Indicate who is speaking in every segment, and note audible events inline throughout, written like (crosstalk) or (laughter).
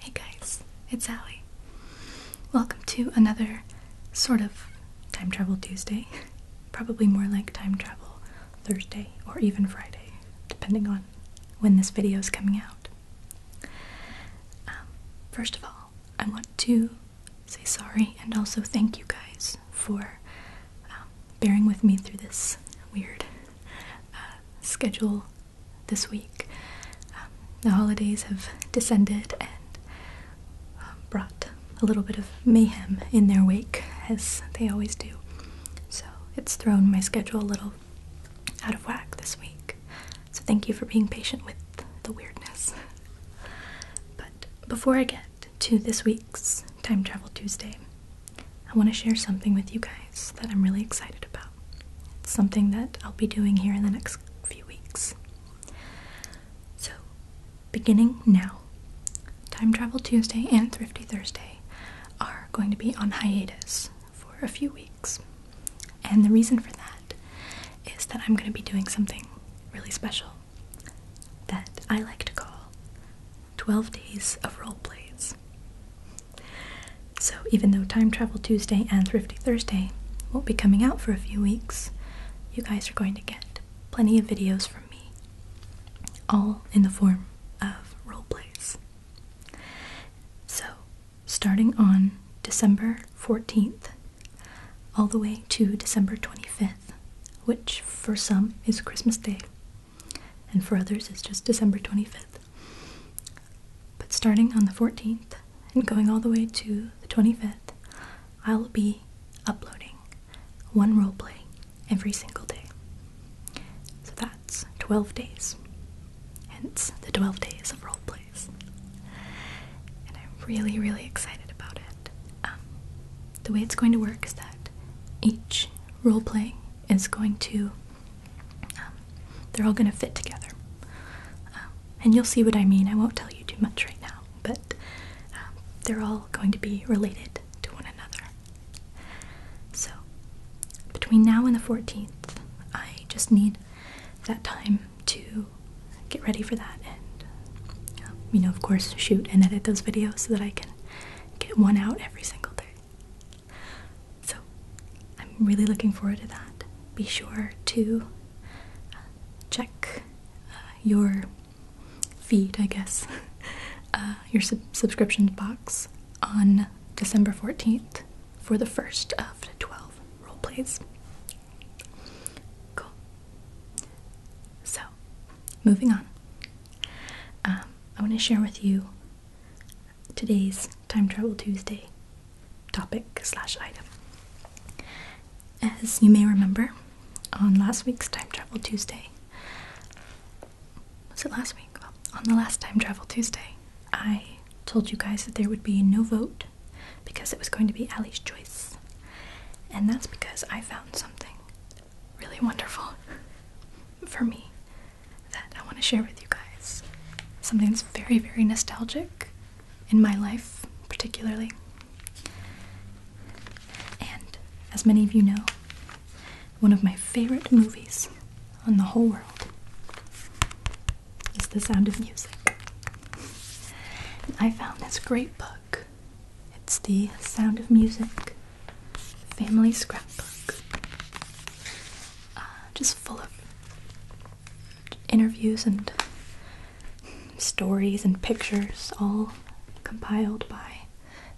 Speaker 1: Hey guys, it's Allie. Welcome to another sort of time travel Tuesday. (laughs) Probably more like time travel Thursday or even Friday, depending on when this video is coming out. Um, first of all, I want to say sorry and also thank you guys for um, bearing with me through this weird uh, schedule this week. Um, the holidays have descended and um, brought a little bit of mayhem in their wake, as they always do. So it's thrown my schedule a little out of whack this week. So thank you for being patient with the weirdness. But before I get to this week's Time Travel Tuesday, I want to share something with you guys that I'm really excited about. It's something that I'll be doing here in the next few weeks. So, beginning now, Time Travel Tuesday and Thrifty Thursday are going to be on hiatus for a few weeks. And the reason for that is that is that I'm going to be doing something really special that I like to call 12 Days of Role Plays. So, even though Time Travel Tuesday and Thrifty Thursday won't be coming out for a few weeks, you guys are going to get plenty of videos from me, all in the form of role plays. So, starting on December 14th all the way to December 25th, which for some is Christmas Day, and for others is just December 25th. But starting on the 14th and going all the way to the 25th, I'll be uploading one roleplay every single day. So that's 12 days, hence the 12 days of roleplay. And I'm really, really excited about it. Um, the way it's going to work is that each role play is going to, um, they're all going to fit together. Um, and you'll see what I mean. I won't tell you too much right now, but they're all going to be related to one another. So, between now and the 14th, I just need that time to get ready for that and, um, you know, of course, shoot and edit those videos so that I can get one out every single day. So I'm really looking forward to that. Be sure to uh, check uh, your feed, I guess, (laughs) uh, your sub subscription box on December 14th for the first of 12 role plays. Cool. So, moving on. Um, I want to share with you today's Time Travel Tuesday topic slash item. As you may remember, on last week's Time Travel Tuesday, was it last week? Well, on the last Time Travel Tuesday, I told you guys that there would be no vote because it was going to be Ali's choice. And that's because I found something really wonderful (laughs) for me that I want to share with you guys. Something that's very, very nostalgic in my life, particularly. And as many of you know, one of my favorite movies on the whole world it's the sound of music. I found this great book. It's the Sound of Music Family Scrapbook. Uh, just full of interviews and stories and pictures, all compiled by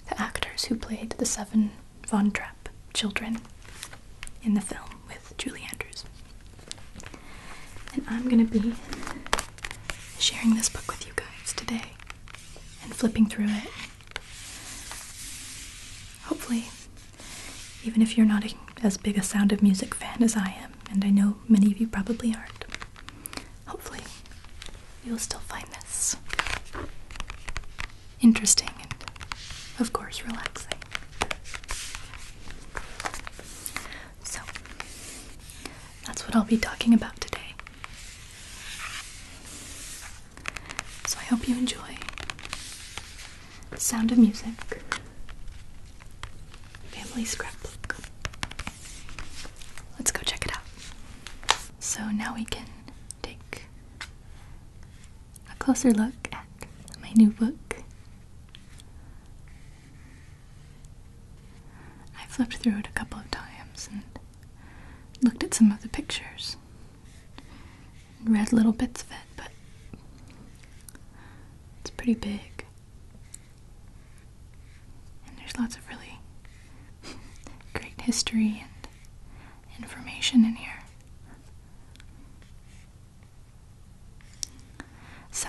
Speaker 1: the actors who played the seven Von Trapp children in the film with Julie Andrews. And I'm gonna be sharing this book with you guys today and flipping through it. Hopefully, even if you're not as big a Sound of Music fan as I am, and I know many of you probably aren't, hopefully you'll still find this interesting and, of course, relaxing. So, that's what I'll be talking about today. So, I hope you enjoy sound of music, family scrapbook. Let's go check it out. So, now we can take a closer look at my new book I flipped through it a couple of times and looked at some of the pictures and read little bits of it, but it's pretty big. And there's lots of really (laughs) great history and information in here. So,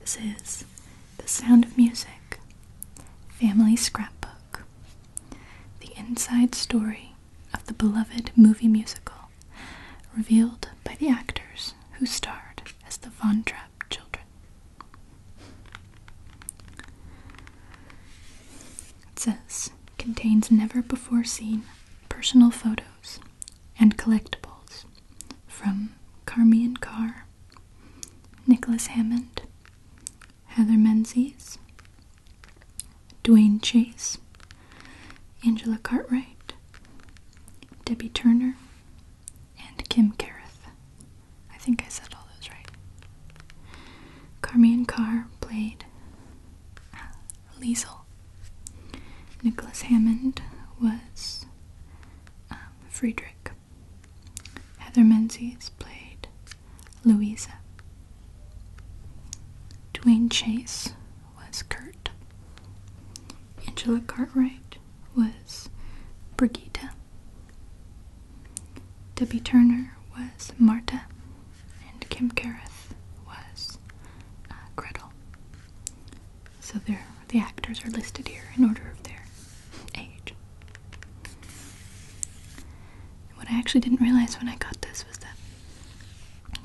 Speaker 1: this is The Sound of Music Family Scrapbook The Inside Story of the Beloved Movie Musical, revealed by the actors who starred as the Von Trapp children. It says, contains never before seen personal photos and collectibles from Carmian Carr, Nicholas Hammond, Heather Menzies, Dwayne Chase, Angela Cartwright, Debbie Turner, and Kim Carruth. I think I said all those right. Carmian Carr played Liesel. Nicholas Hammond was um, Friedrich. Heather Menzies played Louisa. Dwayne Chase was Kurt. Angela Cartwright was Brigitta. Debbie Turner was Marta and Kim Careth was uh, Gretel. So there, the actors are listed here in order of their age. what I actually didn't realize when I got this was that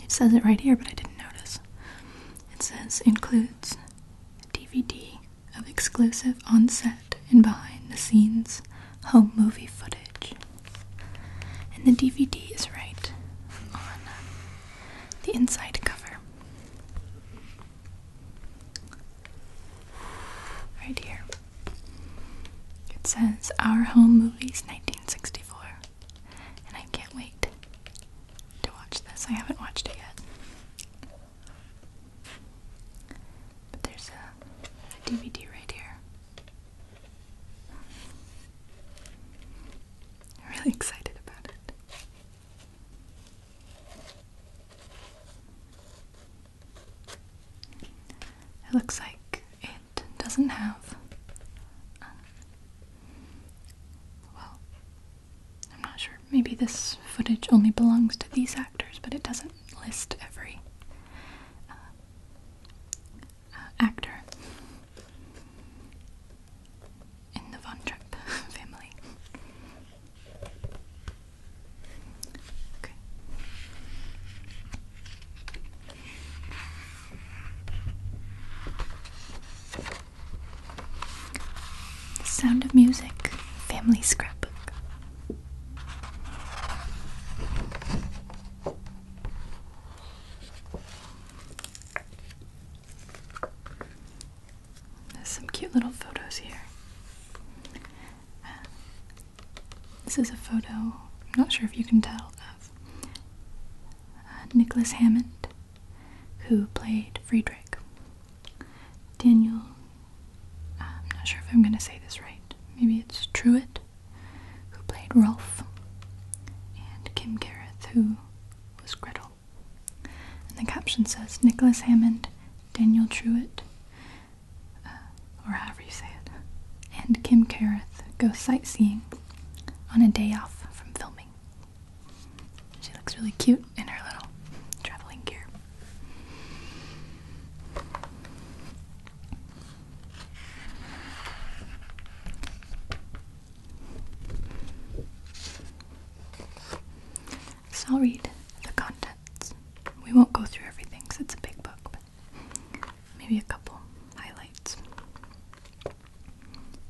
Speaker 1: it says it right here, but I didn't notice. It says includes DVD of exclusive on set and behind the scenes home movie footage. And the DVD is right on the inside cover. Right here. It says Our Home Movies 1964. And I can't wait to watch this. I haven't watched it yet. But there's a, a DVD right here. I'm really excited about it. It looks like it doesn't have. Um, well, I'm not sure. Maybe this footage only belongs to these actors, but it doesn't list every uh, uh, actor in the Von Trapp (laughs) family. Okay. Sound of Music Family Scrapbook. There's some cute little photos here. this is a photo, I'm not sure if you can tell, of uh, Nicholas Hammond, who played Friedrich. Daniel, uh, I'm not sure if I'm going to say this right, maybe it's Truitt who played Rolf, and Kim Gareth, who was Gretel. And the caption says Nicholas Hammond, Daniel Truitt, uh, or however you say it, and Kim Careth go sightseeing on a day off from filming. She looks really cute in her little traveling gear. So I'll read the contents. We won't go through everything because it's a big book, but maybe a couple highlights.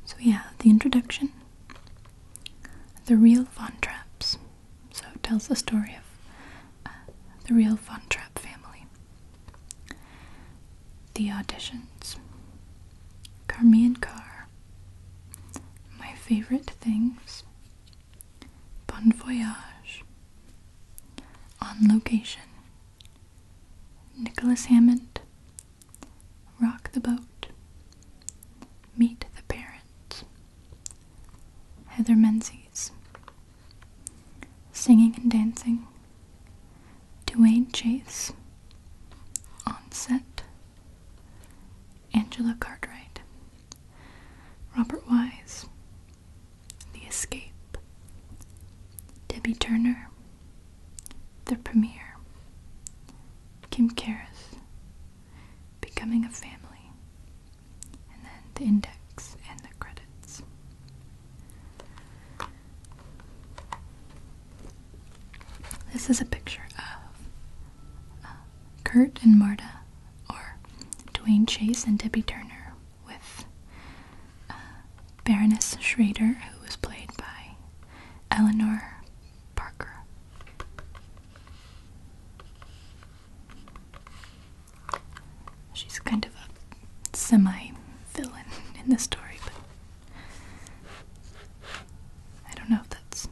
Speaker 1: So we have the introduction, the real Von Trapps. So it tells the story of uh, the real Von Trapp family. The auditions. Carmi and Carr. My favorite things. Bon Voyage. On Location. Nicholas Hammond. Rock the Boat. Meet the Parents. Heather Menzies. Singing and Dancing. Dwayne Chase, Onset, Angela Cartwright, Robert Wise, The Escape, Debbie Turner, The Premiere, Kim Karras, Becoming a Family, and then the index and the credits. This is a picture of um, Kurt and Marta, or Dwayne Chase and Debbie Turner, with uh, Baroness Schrader, who was played by Eleanor Parker. She's kind of a semi villain in the story, but I don't know if that's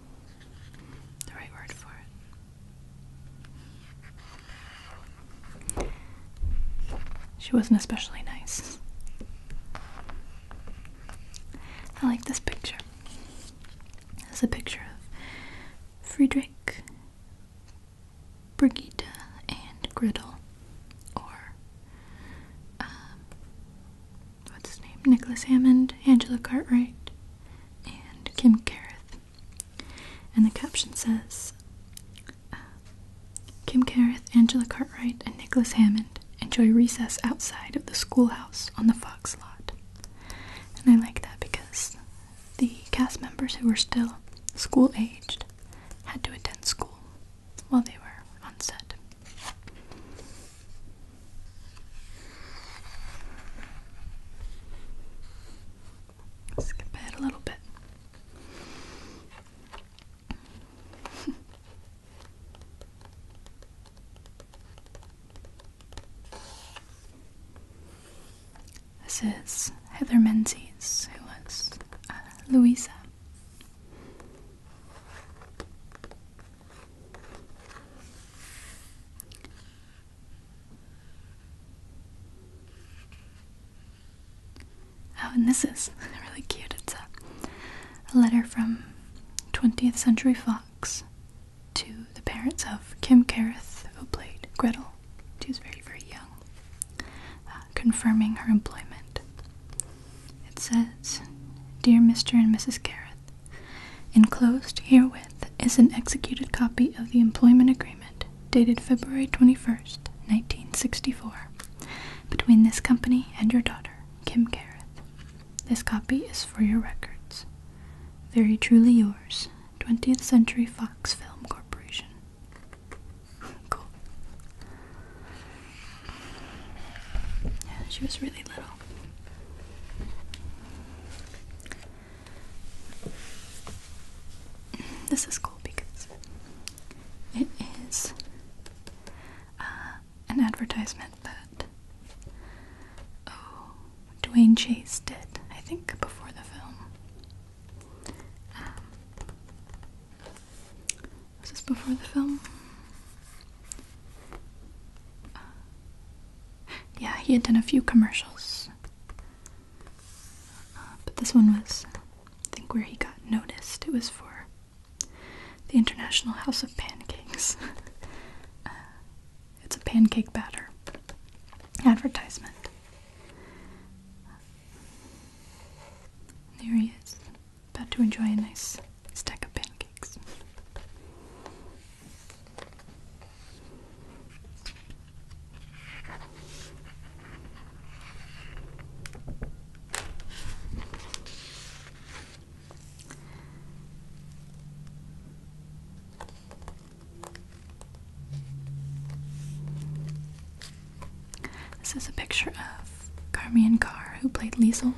Speaker 1: the right word for it. She wasn't especially nice. I like this picture. This a picture of Friedrich, Brigitte, and Griddle, or um, what's his name? Nicholas Hammond, Angela Cartwright, and Kim Careth. And the caption says um, Kim Careth, Angela Cartwright, and Nicholas Hammond enjoy recess outside of the schoolhouse on the Fox lot. And I like that because the cast members who were still school aged had to attend school while they were on set. Skip ahead a little bit. (laughs) this is Heather Menzies, who was uh, Louisa Oh, and this is (laughs) really cute. It's a, letter from 20th Century Fox to the parents of Kim Carruth, who played Gretel. She was very, very young. Uh, confirming her employment. It says, Dear Mr. and Mrs. Gareth, enclosed herewith is an executed copy of the employment agreement dated February 21st, 1964, between this company and your daughter, Kim Gareth. This copy is for your records. Very truly yours, 20th Century Fox Film Corporation cool. Yeah, she was really little. This is cool because it is uh, an advertisement that oh, Dwayne Chase did, I think, before the film. Um, was this before the film? yeah, he had done a few commercials. Uh, but this one was, I think, where he got noticed. It was for the International House of Pancakes. (laughs) Uh, it's a pancake batter advertisement. There he is about to enjoy a nice stack of pancakes. This is a picture of Carmian Carr, who played Liesel.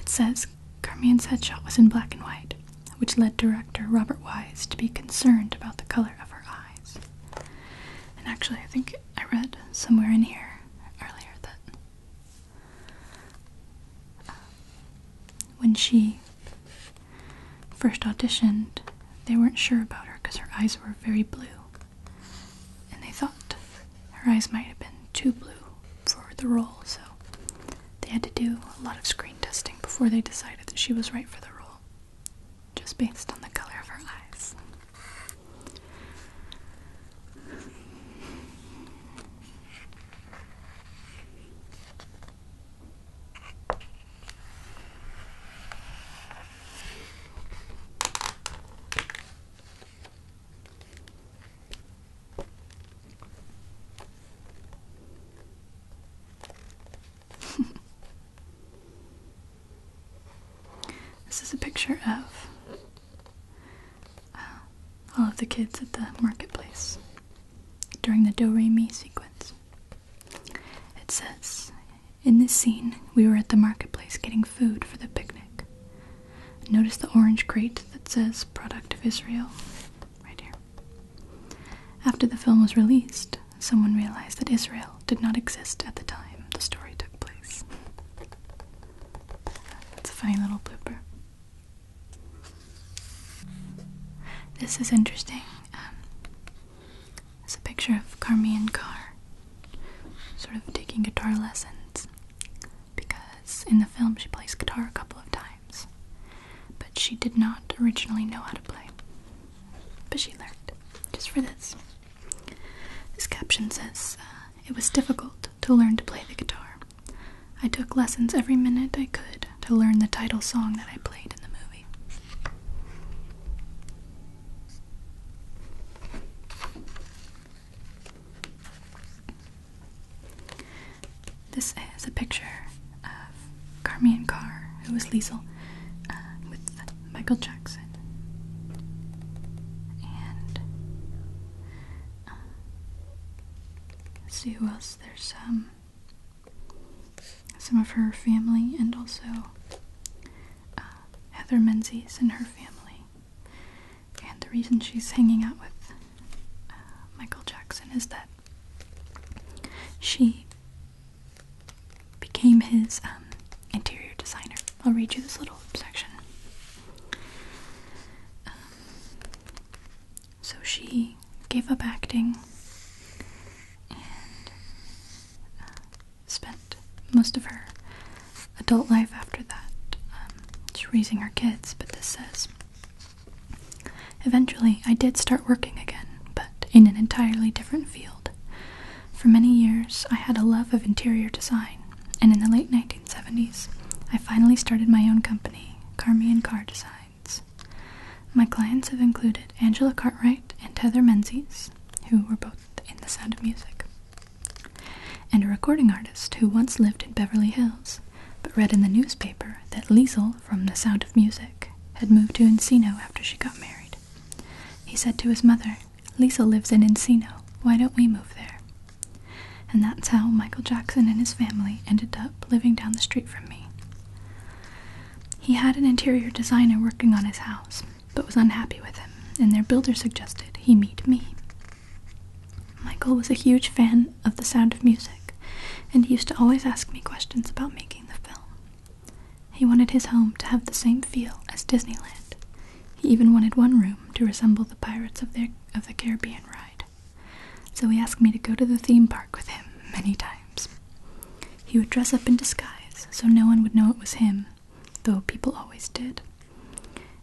Speaker 1: It says Carmian's headshot was in black and white, which led director Robert Wise to be concerned about the color of her eyes. And actually, I think I read somewhere in here earlier that uh, when she first auditioned, they weren't sure about her because her eyes were very blue and they thought her eyes might have been too blue for the role, so they had to do a lot of screen testing before they decided that she was right for the role, just based on the color of her eyes this is a picture of uh, all of the kids at the marketplace during the Do Re Mi sequence. It says, in this scene, we were at the marketplace getting food for the picnic. Notice the orange crate that says Product of Israel right here. After the film was released, someone realized that Israel did not exist at the time the story took place. That's a funny little blooper. This is interesting. Um, it's a picture of Carmian Car. sort of taking guitar lessons because in the film she plays guitar a couple of times, but she did not originally know how to play. But she learned just for this. This caption says, uh, It was difficult to learn to play the guitar. I took lessons every minute I could to learn the title song that I played in the movie. This is a picture of Carmian Car. who was Liesel, uh, with Michael Jackson. And uh, see who else. There's um, some of her family and also uh, Heather Menzies and her family. And the reason she's hanging out with uh, Michael Jackson is that she became his um, interior designer. I'll read you this little section. Um, so she gave up acting uh, spent most of her adult life after that, um, raising her kids. But this says, Eventually, I did start working again, but in an entirely different field. For many years, I had a love of interior design, and in the late 1970s, I finally started my own company, Carmian Car Designs. My clients have included Angela Cartwright and Heather Menzies, who were both in The Sound of Music, and a recording artist who once lived in Beverly Hills but read in the newspaper that Liesel from The Sound of Music had moved to Encino after she got married. He said to his mother, Liesel lives in Encino, why don't we move there? And that's how Michael Jackson and his family ended up living down the street from me. He had an interior designer working on his house, but was unhappy with him, and their builder suggested he meet me. Michael was a huge fan of The Sound of Music, and he used to always ask me questions about making the film. He wanted his home to have the same feel as Disneyland. He even wanted one room to resemble the Pirates of the, of the Caribbean ride. So he asked me to go to the theme park with him many times. He would dress up in disguise so no one would know it was him though people always did.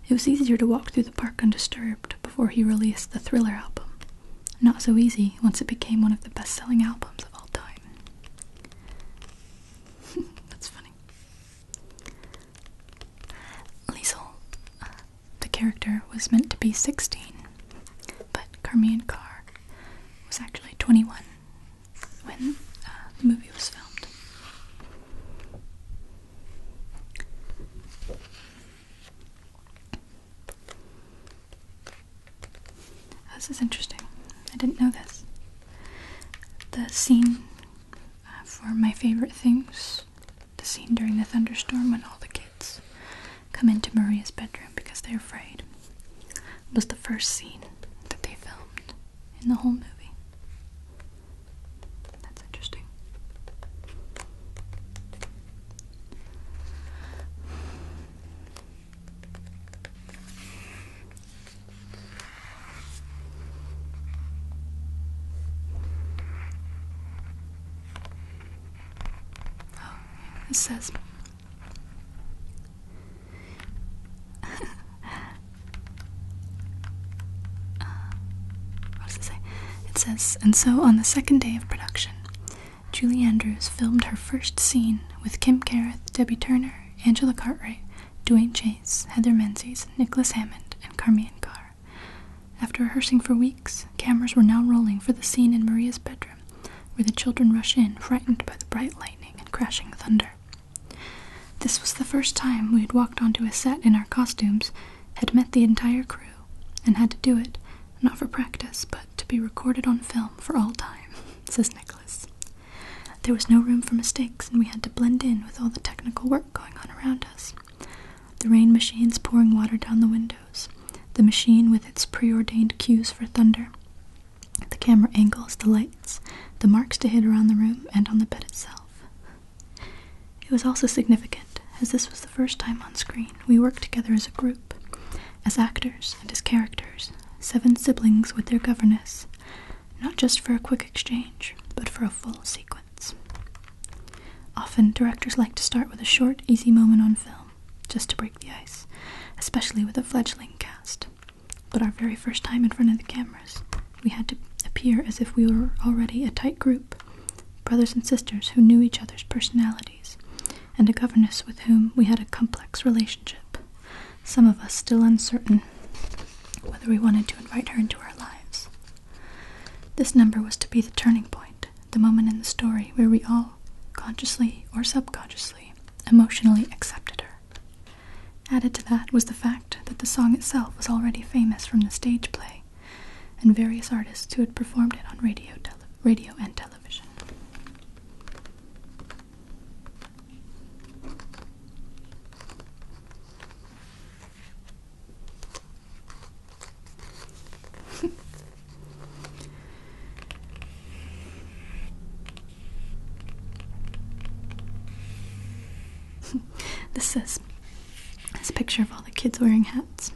Speaker 1: It was easier to walk through the park undisturbed before he released the Thriller album. Not so easy once it became one of the best selling albums of all time. (laughs) That's funny. Liesel, the character, was meant to be 16, but Carmian Carr was actually 21 when uh, the movie was filmed. Oh, this is interesting. I didn't know this. The scene uh, for my favorite things, the scene during the thunderstorm when all the kids come into Maria's bedroom because they're afraid, was the first scene that they filmed in the whole movie. That's interesting. Oh, it says uh, what does it say? It says, and so on the second day of production, Julie Andrews filmed her first scene with Kim Careth, Debbie Turner, Angela Cartwright, Dwayne Chase, Heather Menzies, Nicholas Hammond, and Carmine Carr. After rehearsing for weeks, cameras were now rolling for the scene in Maria's bedroom, where the children rush in, frightened by the bright lightning and crashing thunder. This was the first time we had walked onto a set in our costumes, had met the entire crew, and had to do it, not for practice, but to be recorded on film for all time, (laughs) says Nicholas. There was no room for mistakes, and we had to blend in with all the technical work going on around us. The rain machines pouring water down the windows, the machine with its preordained cues for thunder, the camera angles, the lights, the marks to hit around the room and on the bed itself. It was also significant, as this was the first time on screen we worked together as a group, as actors and as characters, seven siblings with their governess, not just for a quick exchange, but for a full sequence. Often, directors like to start with a short, easy moment on film, just to break the ice, especially with a fledgling cast. But our very first time in front of the cameras, we had to appear as if we were already a tight group brothers and sisters who knew each other's personalities, and a governess with whom we had a complex relationship, some of us still uncertain whether we wanted to invite her into our lives. This number was to be the turning point, the moment in the story where we all, consciously or subconsciously, emotionally accepted her. Added to that was the fact that the song itself was already famous from the stage play and various artists who had performed it on radio, radio and television. (laughs) (laughs) this is this picture of all the kids wearing hats.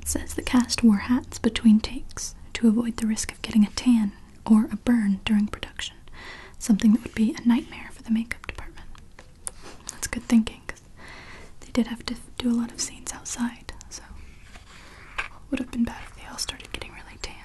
Speaker 1: It says the cast wore hats between takes to avoid the risk of getting a tan or a burn during production, something that would be a nightmare for the makeup department. That's good thinking because they did have to do a lot of scenes outside, so would have been bad if they all started getting really tan.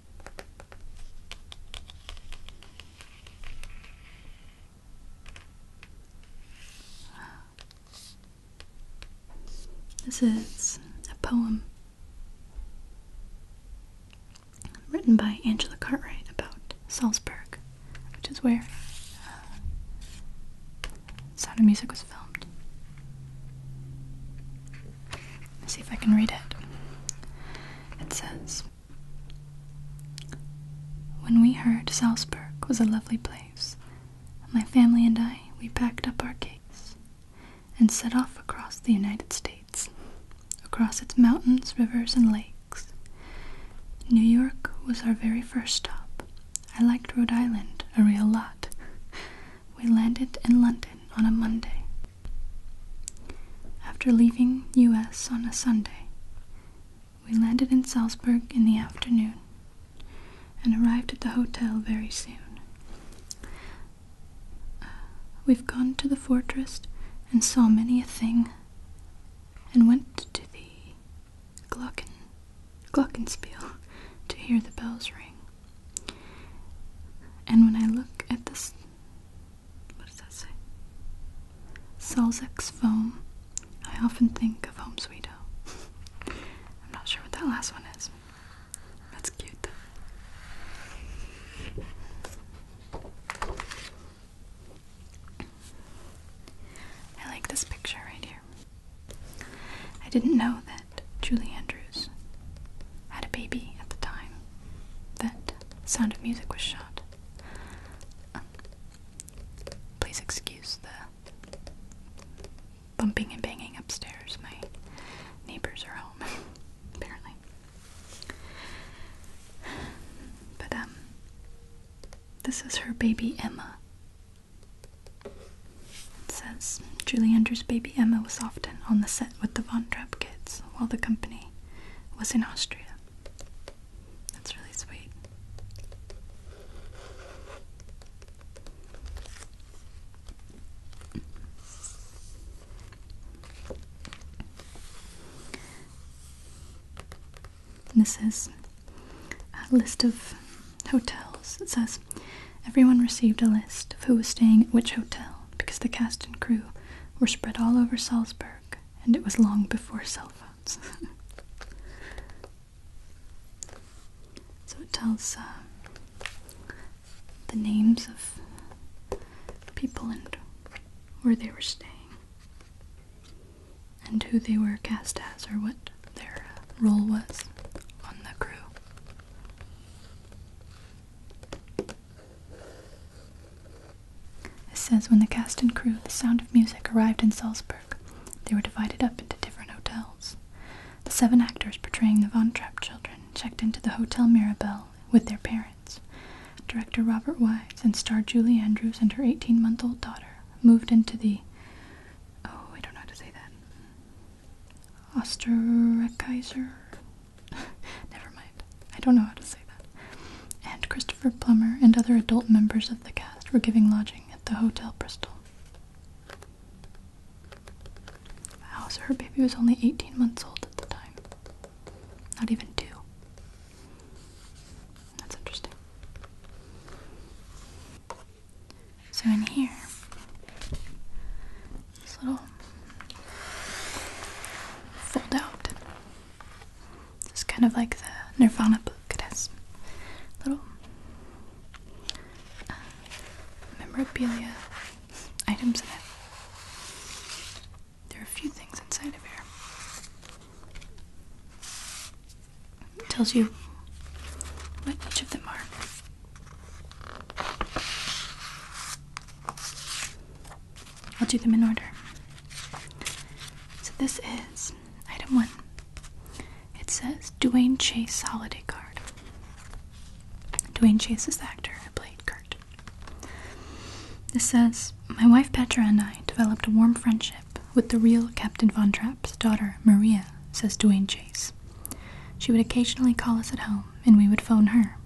Speaker 1: This is a poem written by Angela Cartwright about Salzburg, which is where uh, Sound of Music was filmed. Let's see if I can read it. It says When we heard Salzburg was a lovely place, my family and I, we packed up our case and set off across the United States, across its mountains, rivers, and lakes. New York was our very first stop. I liked Rhode Island a real lot. We landed in London on a Monday after leaving US on a Sunday, we landed in Salzburg in the afternoon and arrived at the hotel very soon. Uh, we've gone to the fortress and saw many a thing and went to the Glocken, Glockenspiel to hear the bells ring. And when I look at this, what does that say? Salzex foam. I often think of Home Sweet Home. (laughs) I'm not sure what that last one is. That's cute though. I like this picture right here. I didn't know that Julie Andrews had a baby at the time that Sound of Music was shot. Um, please excuse the bumping and banging upstairs. My neighbors are home, (laughs) apparently. But, um, this is her baby Emma. It says Julie Andrews' baby Emma was often on the set with the Von Trapp kids. France while the company was in Austria. That's really sweet. This is a list of hotels. It says everyone received a list of who was staying at which hotel because the cast and crew were spread all over Salzburg, and it was long before cell phones. (laughs) so it tells uh, the names of people and where they were staying, and who they were cast as, or what their uh, role was on the crew. It says when the cast and crew of The Sound of Music arrived in Salzburg, they were divided up into different hotels. The seven actors portraying the Von Trapp children checked into the Hotel Mirabel with their parents. Director Robert Wise and star Julie Andrews and her 18 month old daughter moved into the Oh, I don't know how to say that. Osterreicher (laughs) Never mind. I don't know how to say that. And Christopher Plummer and other adult members of the cast were giving lodging at the Hotel Bristol. Wow, so her baby was only 18 months old at the time. Not even two. That's interesting. So in here, this little fold out. It's kind of like the Nirvana book. It has little uh, memorabilia items in it. There are a few things inside of here. It tells you what each of them are. I'll do them in order. So this is item one. It says Dwayne Chase Holiday Card. Dwayne Chase is the actor who played Kurt. This says My wife Petra and I developed a warm friendship with the real Captain Von Trapp's daughter, Maria, says Dwayne Chase. She would occasionally call us at home and we would phone her.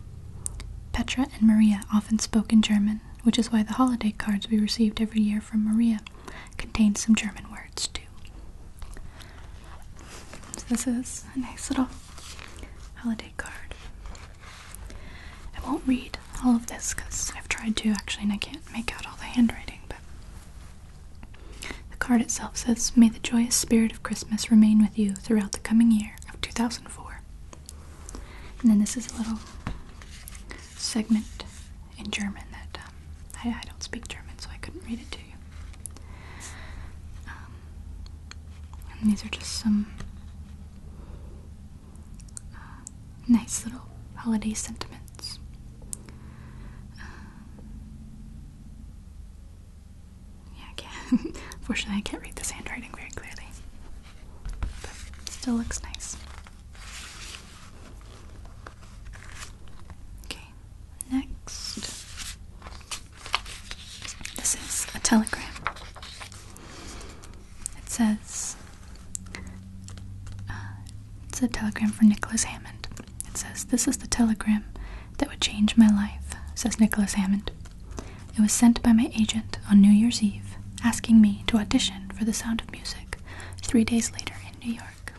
Speaker 1: Petra and Maria often spoke in German, which is why the holiday cards we received every year from Maria contained some German words too. this is a nice little holiday card. I won't read all of this because I've tried to actually and I can't make out all the handwriting, but the card itself says, May the joyous spirit of Christmas remain with you throughout the coming year of 2019. 2004. And then this is a little segment in German that um, I, don't speak German, so I couldn't read it to you. Um, and these are just some uh, nice little holiday sentiments. Uh, yeah, I can. (laughs) Fortunately, I can't read this handwriting very clearly. But it still looks nice. Okay, next. This is a telegram. It says, uh, it's a telegram for Nicholas Hammond. It says, This is the telegram that would change my life, says Nicholas Hammond. It was sent by my agent on New Year's Eve, asking me to audition for The Sound of Music three days later in New York.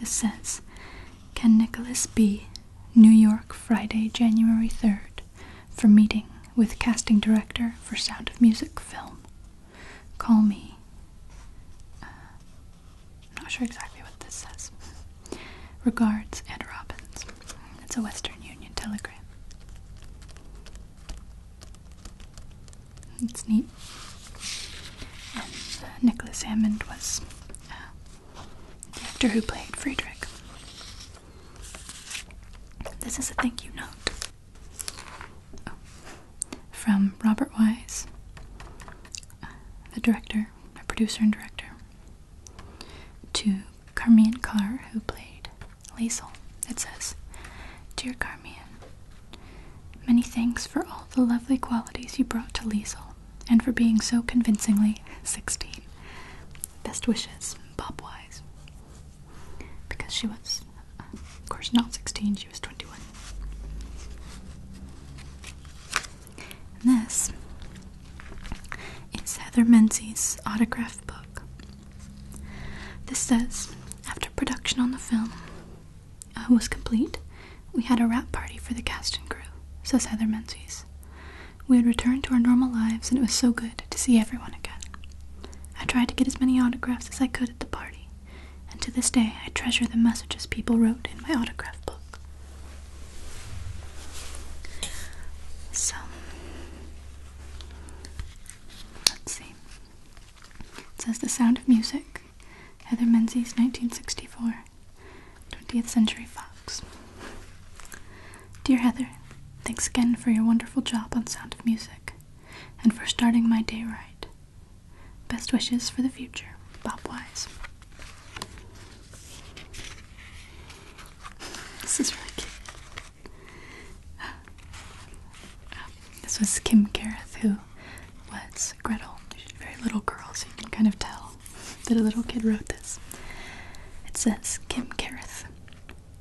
Speaker 1: This says, Can Nicholas be New York, Friday, January 3rd, for meeting with casting director for Sound of Music film? Call me. Uh, I'm not sure exactly what this says. Regards, Ed Robbins. It's a Western Union telegram. It's neat. Uh, Nicholas Hammond was uh, the actor who played Friedrich. This is a thank you note from Robert Wise, uh, the director, a producer and director to Carmian Carr, who played Liesel. It says, Dear Carmian, many thanks for all the lovely qualities you brought to Liesel and for being so convincingly 16. Best wishes, Bob Wise. Because she was, of course, not 16, she was 21. And this is Heather Menzies' autograph book. This says, after production on the film uh, was complete, we had a wrap party for the cast and crew, says Heather Menzies. We had returned to our normal lives, and it was so good to see everyone again. I tried to get as many autographs as I could at the party, and to this day I treasure the messages people wrote in my autograph book. So let's see. It says The Sound of Music, Heather Menzies, 1964, 20th Century Fox. Dear Heather, thanks again for your wonderful job on Sound of Music and for starting my day right. Best wishes for the future, Bob Wise. This is really cute. this was Kim Gareth, who was Gretel. very little girl, so you can kind of tell that a little kid wrote this. It says, Kim Gareth,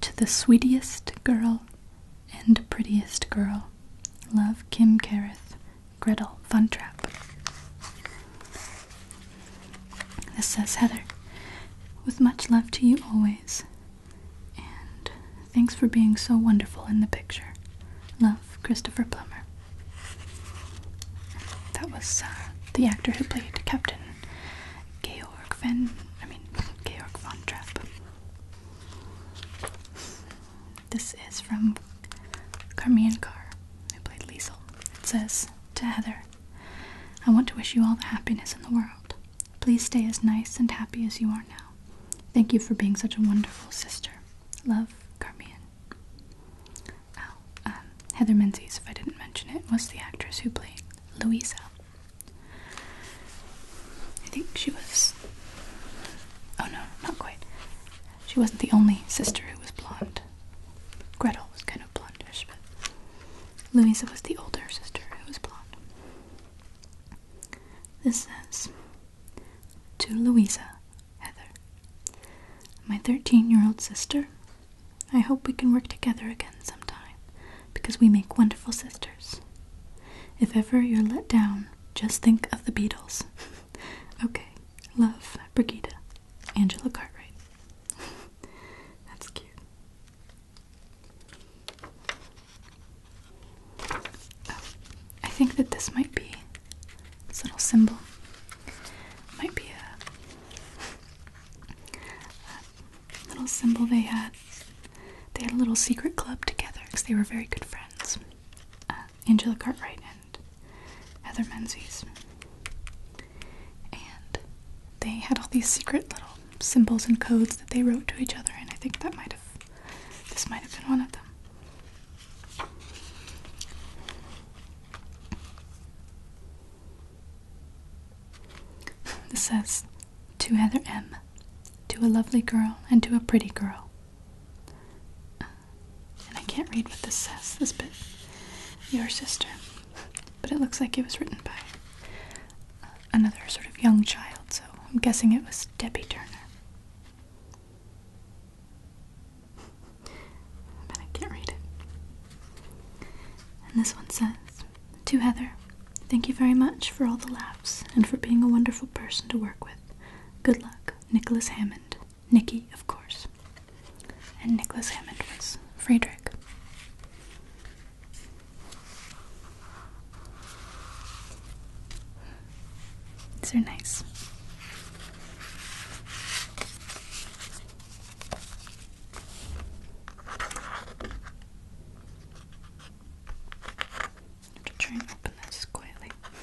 Speaker 1: to the sweetest girl and prettiest girl, love Kim Gareth, Gretel Fun Trap. This says Heather, with much love to you always, and thanks for being so wonderful in the picture. Love, Christopher Plummer. That was uh, the actor who played Captain Georg Van. I mean, Georg Von Trapp. This is from Carmian Carr, who played Liesel, says to Heather, I want to wish you all the happiness in the world. Please stay as nice and happy as you are now. Thank you for being such a wonderful sister. Love, Carmian. Oh, um, Heather Menzies, if I didn't mention it, was the actress who played Louisa. I think she was. Oh no, not quite. She wasn't the only sister who was blonde. Gretel was kind of blondish, but Louisa was the older sister who was blonde. This says To Louisa, Heather, my 13 year old sister. I hope we can work together again sometime because we make wonderful sisters. If ever you're let down, just think of the Beatles. (laughs) okay, love, Brigida. Angela Cartwright. (laughs) That's cute. Oh, I think that this might be this little symbol. Might be a, little symbol they had. They had a little secret club together because they were very good friends. Uh, Angela Cartwright and Heather Menzies. And they had all these secret little symbols and codes that they wrote to each other, and I think that might have this might have been one of them. (laughs) This says to Heather M, to a lovely girl and to a pretty girl. Uh, and I can't read what this says, this bit. Your sister. But it looks like it was written by uh, another sort of young child, so I'm guessing it was Debbie Turner. but I can't read it. And this one says To Heather, thank you very much for all the laughs and for being a wonderful person to work with. Good luck, Nicholas Hammond, Nicky, of course. And Nicholas Hammond was Friedrich. These are nice. I'm try and open this quietly.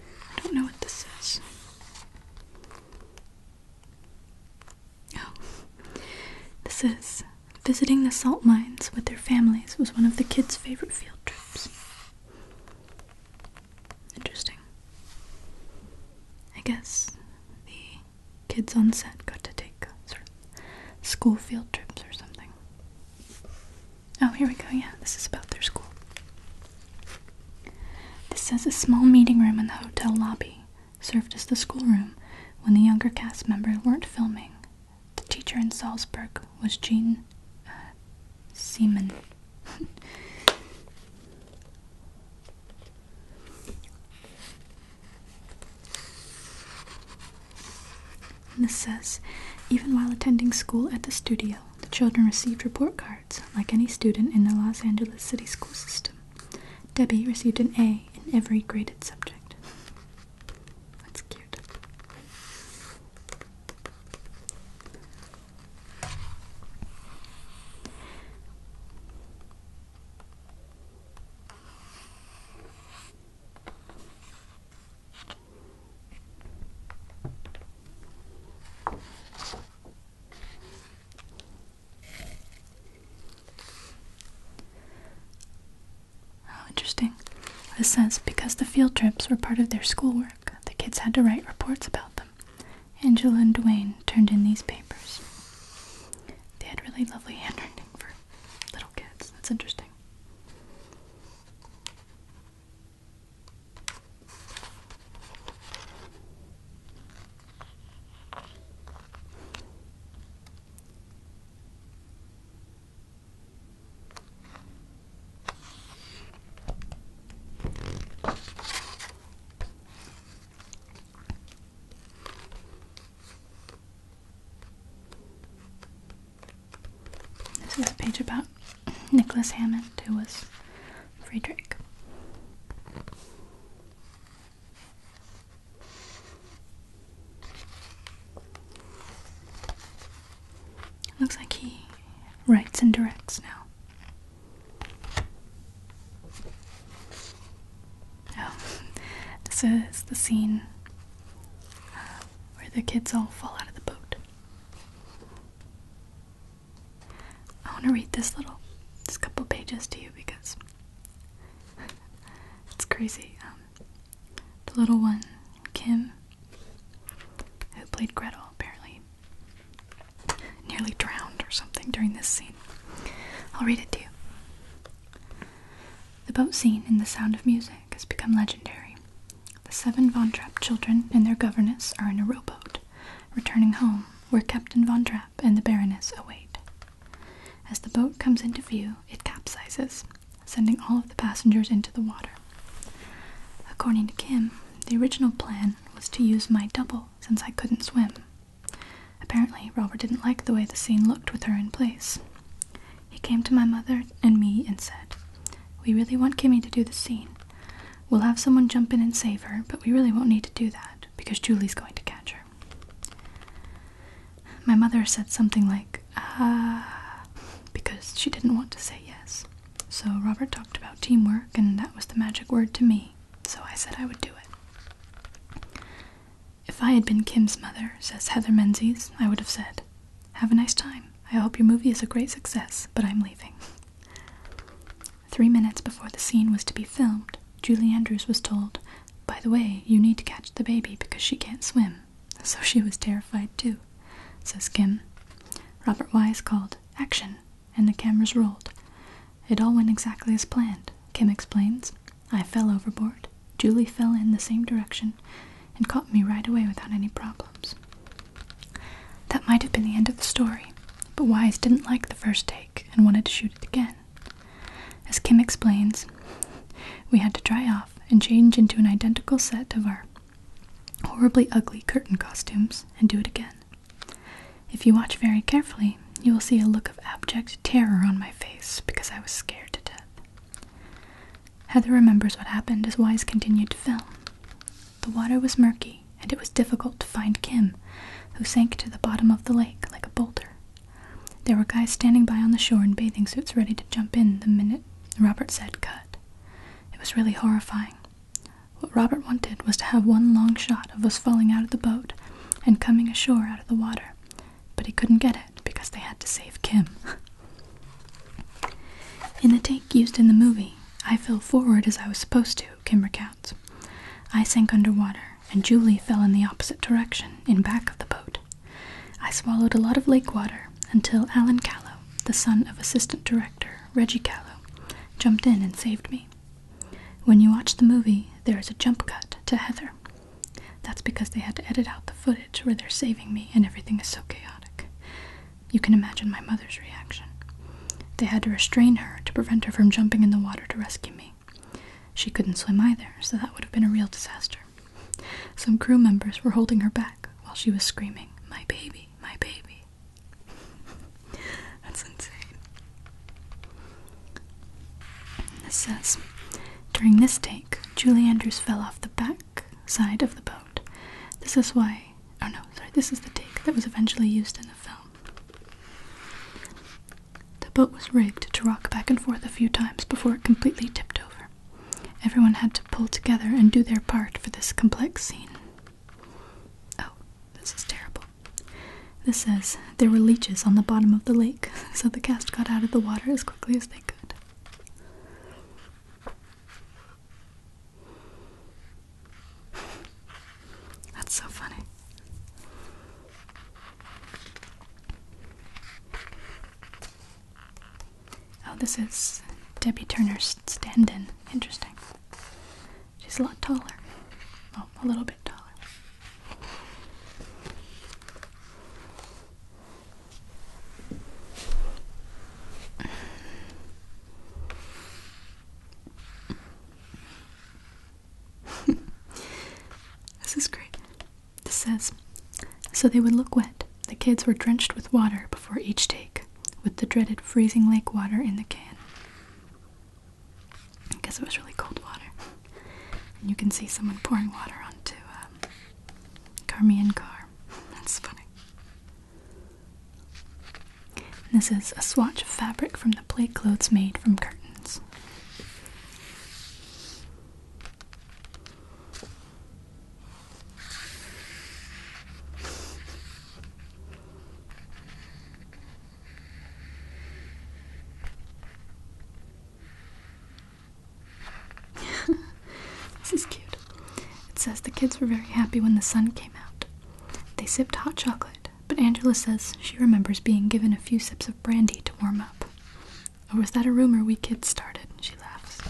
Speaker 1: I don't know what this is. Oh, this is Visiting the salt mines with their families was one of the kids' favorite field trips. Interesting. I guess the kids on set got to take sort of school field trips or something. Oh, here we go. Yeah, this is about their school. This says a small meeting room in the hotel lobby served as the schoolroom when the younger cast members weren't filming. The teacher in Salzburg was Jean uh, Seaman. this (laughs) says, even while attending school at the studio, the children received report cards like any student in the Los Angeles City school system. Debbie received an A in every graded subject. That's cute. Oh, interesting. This says because the field trips were part of their schoolwork, the kids had to write reports about them. Angela and Dwayne turned in these papers. They had really lovely handwriting for little kids. That's interesting. This is a page about Nicholas Hammond, who was Frederick. Looks like he writes and directs now. Oh, (laughs) this is the scene uh, where the kids all fall out of the boat. I want to read this little, this couple pages to you because (laughs) it's crazy. Um, the little one, Kim, who played Gretel apparently, nearly drowned or something during this scene. I'll read it to you. The boat scene in The Sound of Music has become legendary. The seven Von Trapp children and their governess are in a rowboat, returning home, where Captain Von Trapp and the Baroness await. As the boat comes into view, it capsizes, sending all of the passengers into the water. According to Kim, the original plan was to use my double since I couldn't swim. Apparently, Robert didn't like the way the scene looked with her in place. He came to my mother and me and said, We really want Kimmy to do the scene. We'll have someone jump in and save her, but we really won't need to do that because Julie's going to catch her. My mother said something like, ah, because she didn't want to say yes. So Robert talked about teamwork, and that was the magic word to me, so I said I would do it. If I had been Kim's mother, says Heather Menzies, I would have said, Have a nice time. I hope your movie is a great success, but I'm leaving. Three minutes before the scene was to be filmed, Julie Andrews was told, by the way, you need to catch the baby because she can't swim. So she was terrified too, says Kim. Robert Wise called, Action! And the cameras rolled. It all went exactly as planned, Kim explains. I fell overboard. Julie fell in the same direction and caught me right away without any problems. That might have been the end of the story, but Wise didn't like the first take and wanted to shoot it again. As Kim explains, we had to dry off and change into an identical set of our horribly ugly curtain costumes and do it again. If you watch very carefully, you will see a look of abject terror on my face because I was scared to death. Heather remembers what happened as Wise continued to film. The water was murky, and it was difficult to find Kim, who sank to the bottom of the lake like a boulder there were guys standing by on the shore in bathing suits ready to jump in the minute Robert said cut. It was really horrifying. What Robert wanted was to have one long shot of us falling out of the boat and coming ashore out of the water, but he couldn't get it because they had to save Kim. (laughs) in the take used in the movie, I fell forward as I was supposed to, Kim recounts. I sank underwater, and Julie fell in the opposite direction, in back of the boat. I swallowed a lot of lake water until Alan Callow, the son of assistant director Reggie Callow, jumped in and saved me. When you watch the movie, there is a jump cut to Heather. That's because they had to edit out the footage where they're saving me and everything is so chaotic. You can imagine my mother's reaction. They had to restrain her to prevent her from jumping in the water to rescue me. She couldn't swim either, so that would have been a real disaster. Some crew members were holding her back while she was screaming, My baby, my baby. (laughs) That's insane. This says During this take, Julie Andrews fell off the back side of the boat. This is why. Oh no, sorry, this is the take that was eventually used in the film. The boat was rigged to rock back and forth a few times before it completely tipped over. Everyone had to pull together and do their part for this complex scene. Oh, this is terrible. This says there were leeches on the bottom of the lake, (laughs) so the cast got out of the water as quickly as they could. (sighs) That's so funny. Oh, this is Debbie Turner's stand in. Interesting. She's a lot taller. Oh, a little bit taller. (laughs) this is great. This says So they would look wet. The kids were drenched with water before each take, with the dreaded freezing lake water in the can. Because it was really cold water. And you can see someone pouring water onto um, Carmian Car. (laughs) That's funny. this is a swatch of fabric from the plate clothes made from curtains. (laughs) this is cute. It says the kids were very happy when the sun came out. They sipped hot chocolate, but Angela says she remembers being given a few sips of brandy to warm up. Or was that a rumor we kids started? She laughs.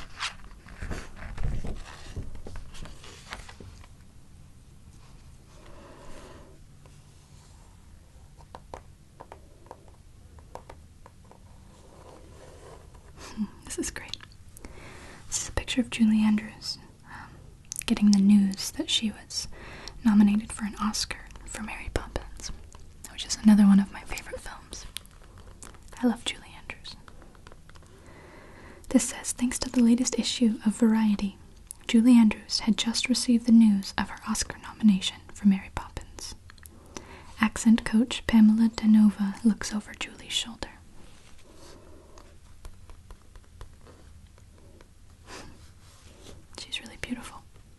Speaker 1: Hmm, this is great. This is a picture of Julie Andrews um, getting the news that she was nominated for an Oscar for Mary Poppins which is another one of my favorite films. I love Julie Andrews. This says thanks to the latest issue of Variety, Julie Andrews had just received the news of her Oscar nomination for Mary Poppins. Accent coach Pamela Danova looks over Julie's shoulder. (laughs) She's really beautiful.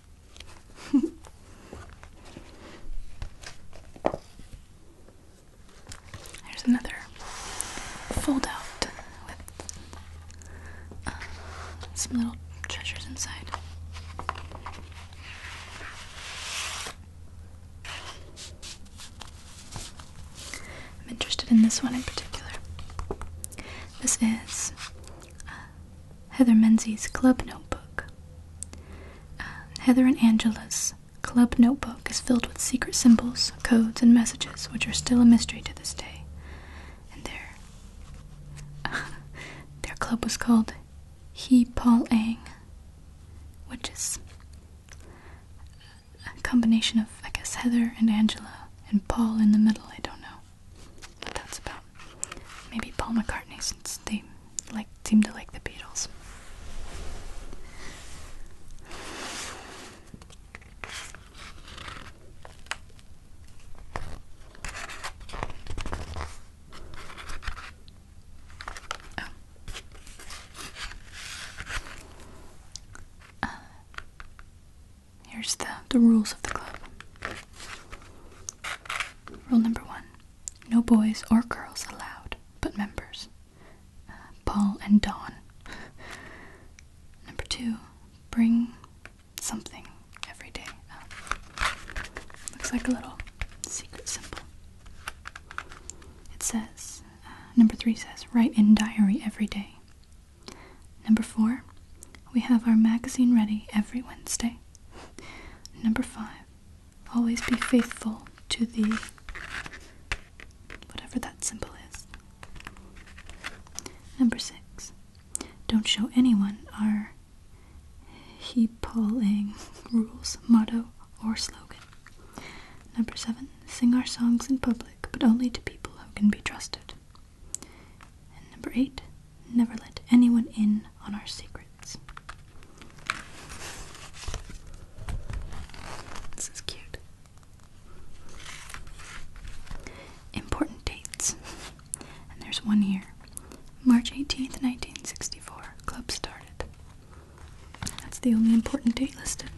Speaker 1: (laughs) There's another fold out with uh, some little treasures inside. I'm interested in this one in particular. This is uh, Heather Menzies' Club Notebook. Uh, Heather and Angela's Club Notebook is filled with secret symbols, codes, and messages which are still a mystery to this day. And their, (laughs) their club was called He Paul Ang, which is a combination of, I guess, Heather and Angela and Paul in the middle. I don't know what that's about. Maybe Paul McCartney, since they like seem to like the Beatles. Oh. Uh, here's the the rules of the club. Rule number one: no boys or girls allowed, but members. Uh, Paul and Don. (laughs) Number two, bring something every day. Uh, looks like a little secret symbol. It says, uh, number three says, write in diary every day. Number four, we have our magazine ready every Wednesday. (laughs) Number five, Always be faithful to the whatever that symbol is. Number six. Don't show anyone our he pulling rules, motto, or slogan. Number seven, sing our songs in public, but only to people who can be trusted. And number eight, never let anyone in on our secrets. This is cute. Important dates. And there's one here. March 18th, 1964. Club started. That's the only important date listed.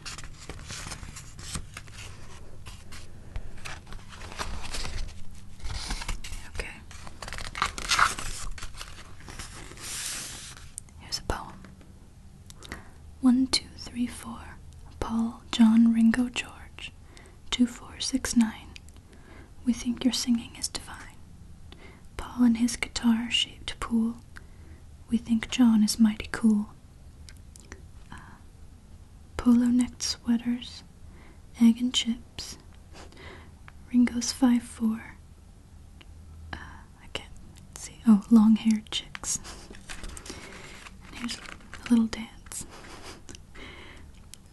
Speaker 1: Okay. Here's a poem. One, two, three, four. Paul, John, Ringo, George. Two, four, six, nine. We think your singing is divine. Paul and his guitar shaped pool. We think John is mighty cool. Uh, polo neck sweaters, egg and chip, hips. Ringo's five four. Uh, I can't see. Oh, long-haired chicks. here's a little dance.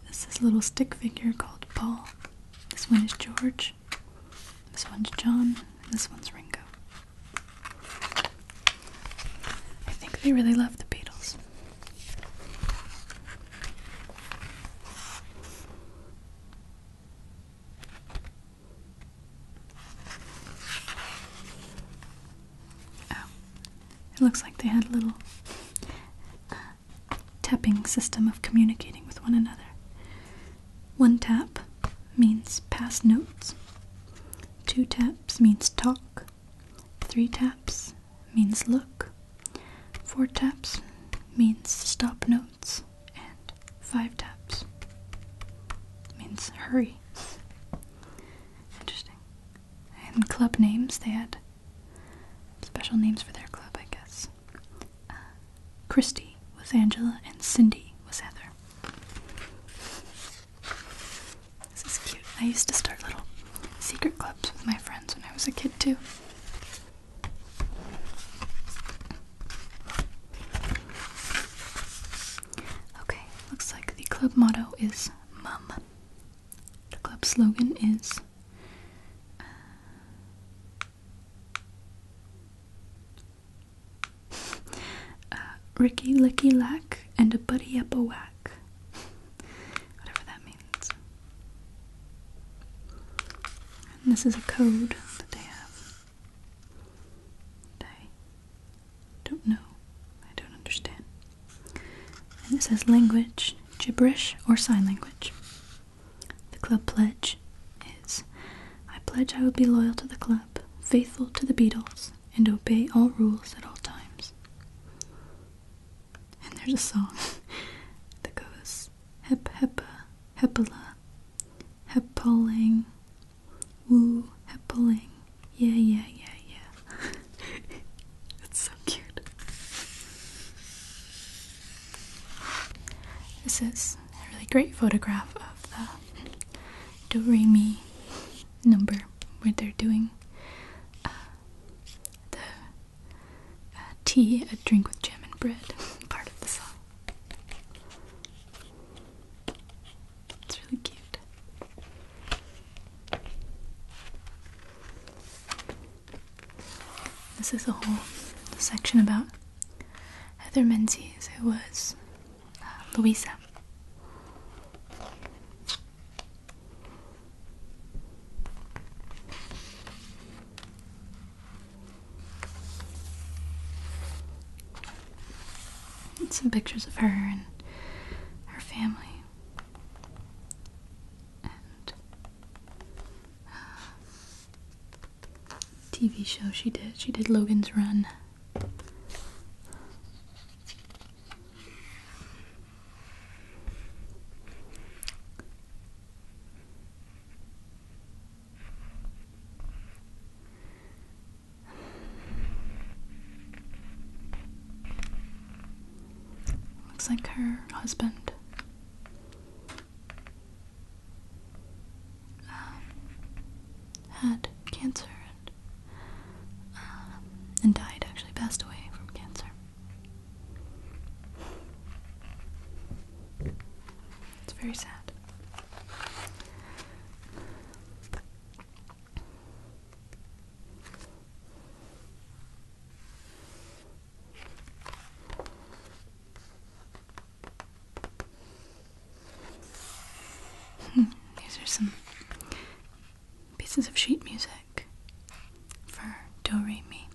Speaker 1: This is a little stick figure called Paul. This one is George. This one's John. this one's Ringo. I think they really love the Beatles. Oh, it looks like they had a little uh, tapping system of communicating with one another. One tap means pass notes, two taps means talk, three taps means look, Four taps means stop notes, and five taps means hurry. Interesting. And club names, they had special names for their club, I guess. Uh, Christy was Angela, and Cindy was Heather. This is cute. I used to start little secret clubs with my friends when I was a kid, too. Okay, looks like the club motto is Mum. The club slogan is uh, Ricky Licky Lack and a Buddy Up a Whack. Whatever that means. And this is a code that they have. I don't know. I don't understand. And it says language, gibberish, or sign language. The club pledge is I pledge I will be loyal to the club, faithful to the Beatles, and obey all rules at all times. And there's a song (laughs) that goes Hephaestus, Hep Hepa, Hepala, Hepoling, Woo, Hepoling. Yeah, yeah, yeah, yeah. it's (laughs) so cute. This is a really great photograph of the Do Re Mi number where they're doing uh, the tea, a drink with jam and bread (laughs) part of the song. It's really cute. This is a whole section about Heather Menzies, It was uh, Louisa some pictures of her and her family. And uh, TV show she did. She did Logan's Run. Looks like her husband. Um, had cancer and, uh, and died, actually, passed away from cancer. It's very sad. (laughs) These are some pieces of sheet music for Do Re Mi.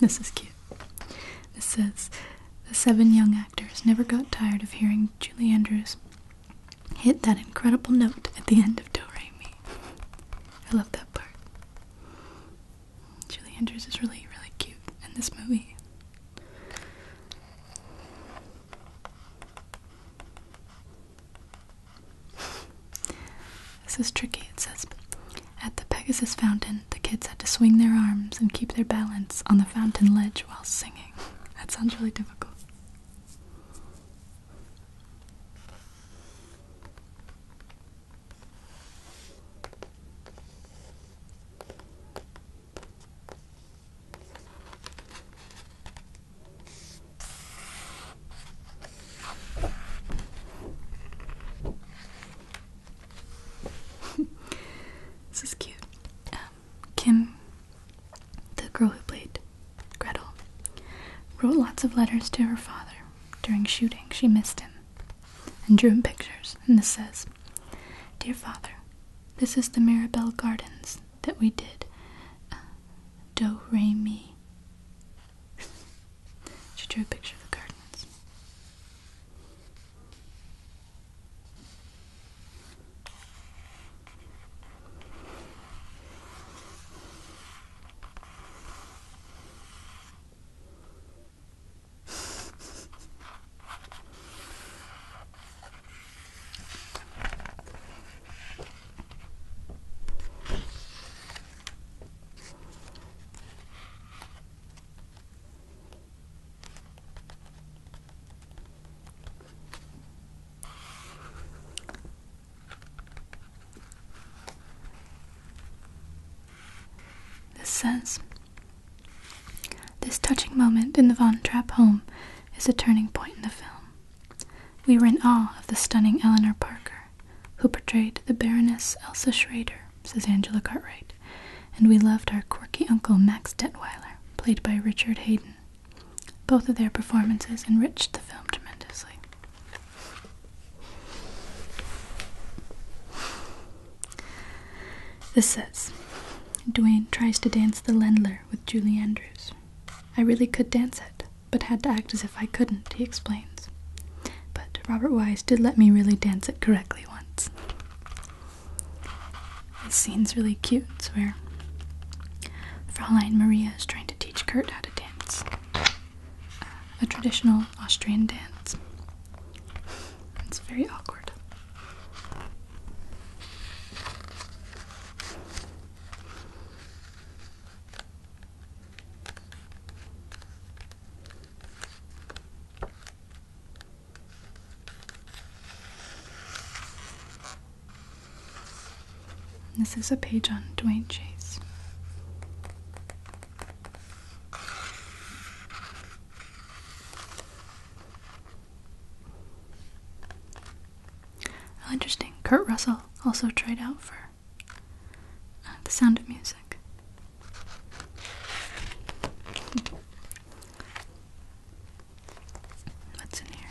Speaker 1: This is cute. This says the seven young actors never got tired of hearing Julie Andrews hit that incredible note at the end of Do Re Mi. I love that part. Julie Andrews is really, really cute in this movie this is tricky, it says. At the Pegasus Fountain, the kids had to swing their arms and keep their balance on the fountain ledge while singing. That sounds really difficult. (laughs) this is cute. Um, Kim, the girl who played Gretel, wrote lots of letters to her father during shooting. She missed him and drew him pictures. And this says Dear Father, this is the Mirabel Gardens that we did. Uh, do re mi. she drew a picture of the gardens. (laughs) This says This touching moment in the Von Trapp home is a turning point in the film. We were in awe of the stunning Eleanor Parker, who portrayed the Baroness Elsa Schrader, says Angela Cartwright, and we loved our quirky uncle Max Detweiler, played by Richard Hayden. Both of their performances enriched the film tremendously. This says Dwayne tries to dance the Lendler with Julie Andrews. I really could dance it, but had to act as if I couldn't, he explains. But Robert Weiss did let me really dance it correctly once. This scene's really cute, it's where Fräulein Maria is trying to teach Kurt how to dance. Uh, a traditional Austrian dance. It's very awkward. This is a page on Dwayne Chase. Oh, interesting. Kurt Russell also tried out for uh, The Sound of Music. What's in here?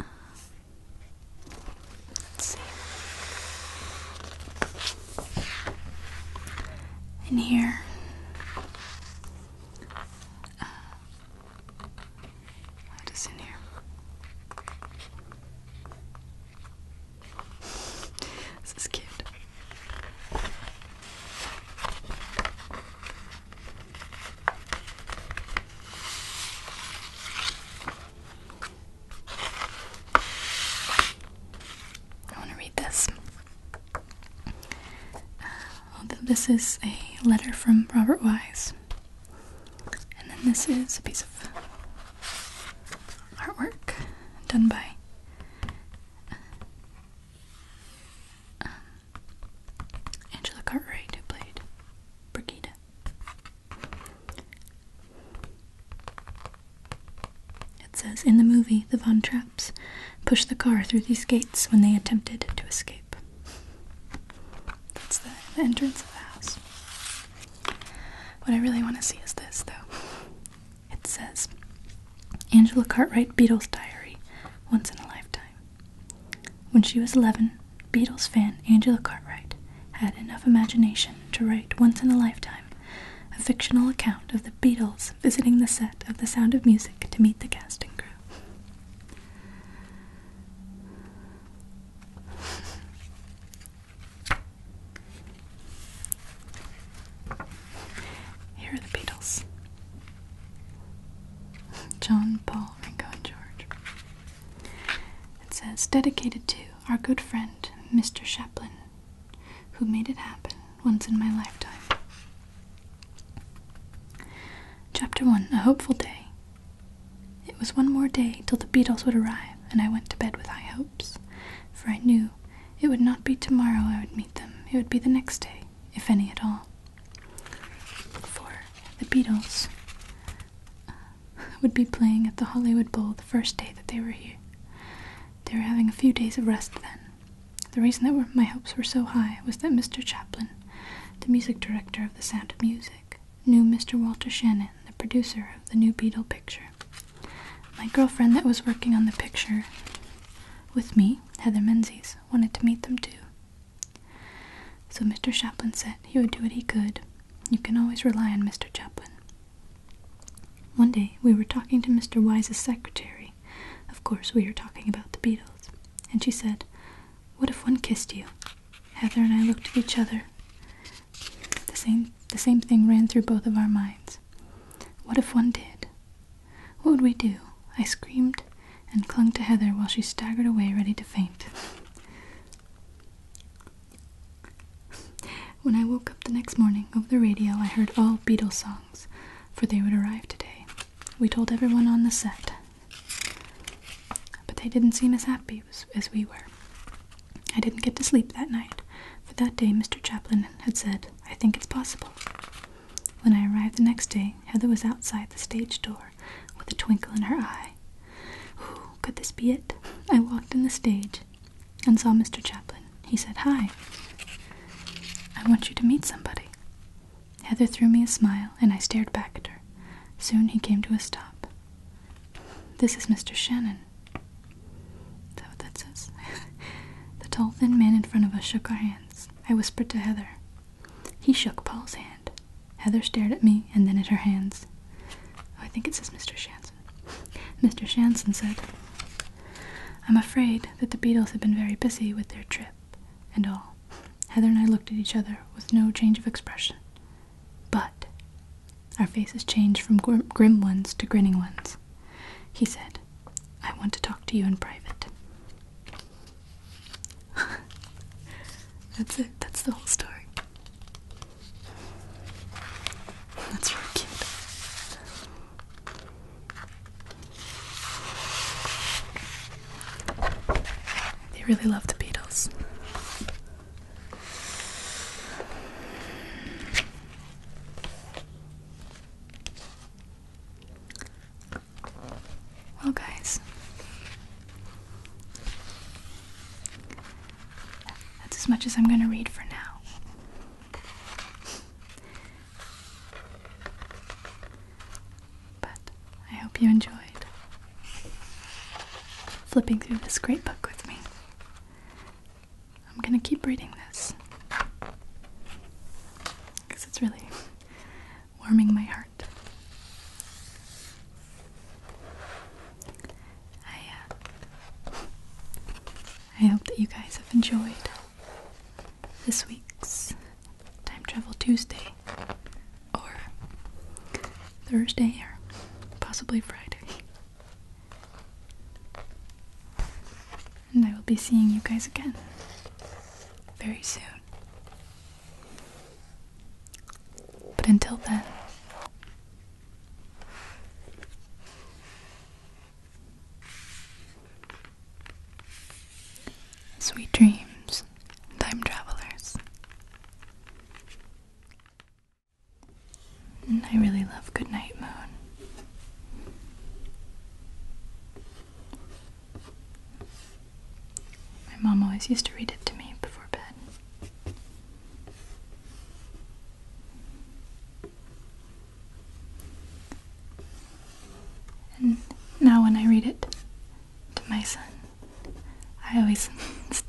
Speaker 1: Uh, let's see. And here. what is in here? (laughs) this is cute. I want to read this. Uh, this is a letter from Robert Wise. And then this is a piece of artwork done by um, Angela Cartwright, who played Brigida. It says in the movie, the Von Trapps pushed the car through these gates when they attempted to escape. That's the, entrance of the house. What I really want to see is this, though. It says Angela Cartwright Beatles Diary, Once in a Lifetime. When she was 11, Beatles fan Angela Cartwright had enough imagination to write Once in a Lifetime a fictional account of the Beatles visiting the set of The Sound of Music to meet the casting crew. Here are the Beatles John, Paul, Ringo, and George. It says, dedicated to our good friend, Mr. Chaplin, who made it happen once in my lifetime. Chapter 1 A Hopeful Day. It was one more day till the Beatles would arrive, and I went to bed with high hopes, for I knew it would not be tomorrow I would meet them, it would be the next day, if any at all. For the Beatles uh, would be playing at the Hollywood Bowl the first day that they were here. They were having a few days of rest then. The reason that my hopes were so high was that Mr. Chaplin, the music director of The Sound of Music, knew Mr. Walter Shannon, the producer of the new Beatle picture. My girlfriend that was working on the picture with me, Heather Menzies, wanted to meet them too. So Mr. Chaplin said he would do what he could. You can always rely on Mr. Chaplin. One day we were talking to Mr. Wise's secretary. Of course, we were talking about the Beatles. And she said, What if one kissed you? Heather and I looked at each other. The same, the same thing ran through both of our minds. What if one did? What would we do? I screamed and clung to Heather while she staggered away, ready to faint. When I woke up the next morning over the radio, I heard all Beatles songs, for they would arrive today. We told everyone on the set, but they didn't seem as happy as we were. I didn't get to sleep that night, for that day Mr. Chaplin had said, I think it's possible. When I arrived the next day, Heather was outside the stage door with a twinkle in her eye. could this be it? I walked in the stage and saw Mr. Chaplin. He said, Hi, I want you to meet somebody. Heather threw me a smile, and I stared back at her. Soon he came to a stop. This is Mr. Shannon. Is that what that says? (laughs) the tall, thin man in front of us shook our hands. I whispered to Heather. He shook Paul's hand. Heather stared at me and then at her hands. Oh, I think it says Mr. Shannon. Mr. Shanson said, I'm afraid that the beetles have been very busy with their trip and all. Heather and I looked at each other with no change of expression. But our faces changed from grim ones to grinning ones. He said, I want to talk to you in private. (laughs) That's it. That's the whole story. That's really cute. They really love the Beatles. Well, guys, that's as much as I'm going to read for now. But I hope you enjoyed flipping through this great book with me. I'm gonna keep reading this because it's really warming my heart. I uh, I hope that you guys have enjoyed this week's Time Travel Tuesday or Thursday or possibly Friday. And I will be seeing you guys again very soon. But until then, Sweet dreams, time travelers. And I really love Goodnight Moon. My mom always used to read it to me before bed. And now when I read it to my son, I always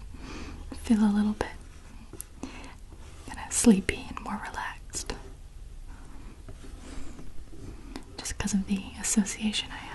Speaker 1: (laughs) feel a little bit kind of sleepy and more relaxed. Just because of the association I have.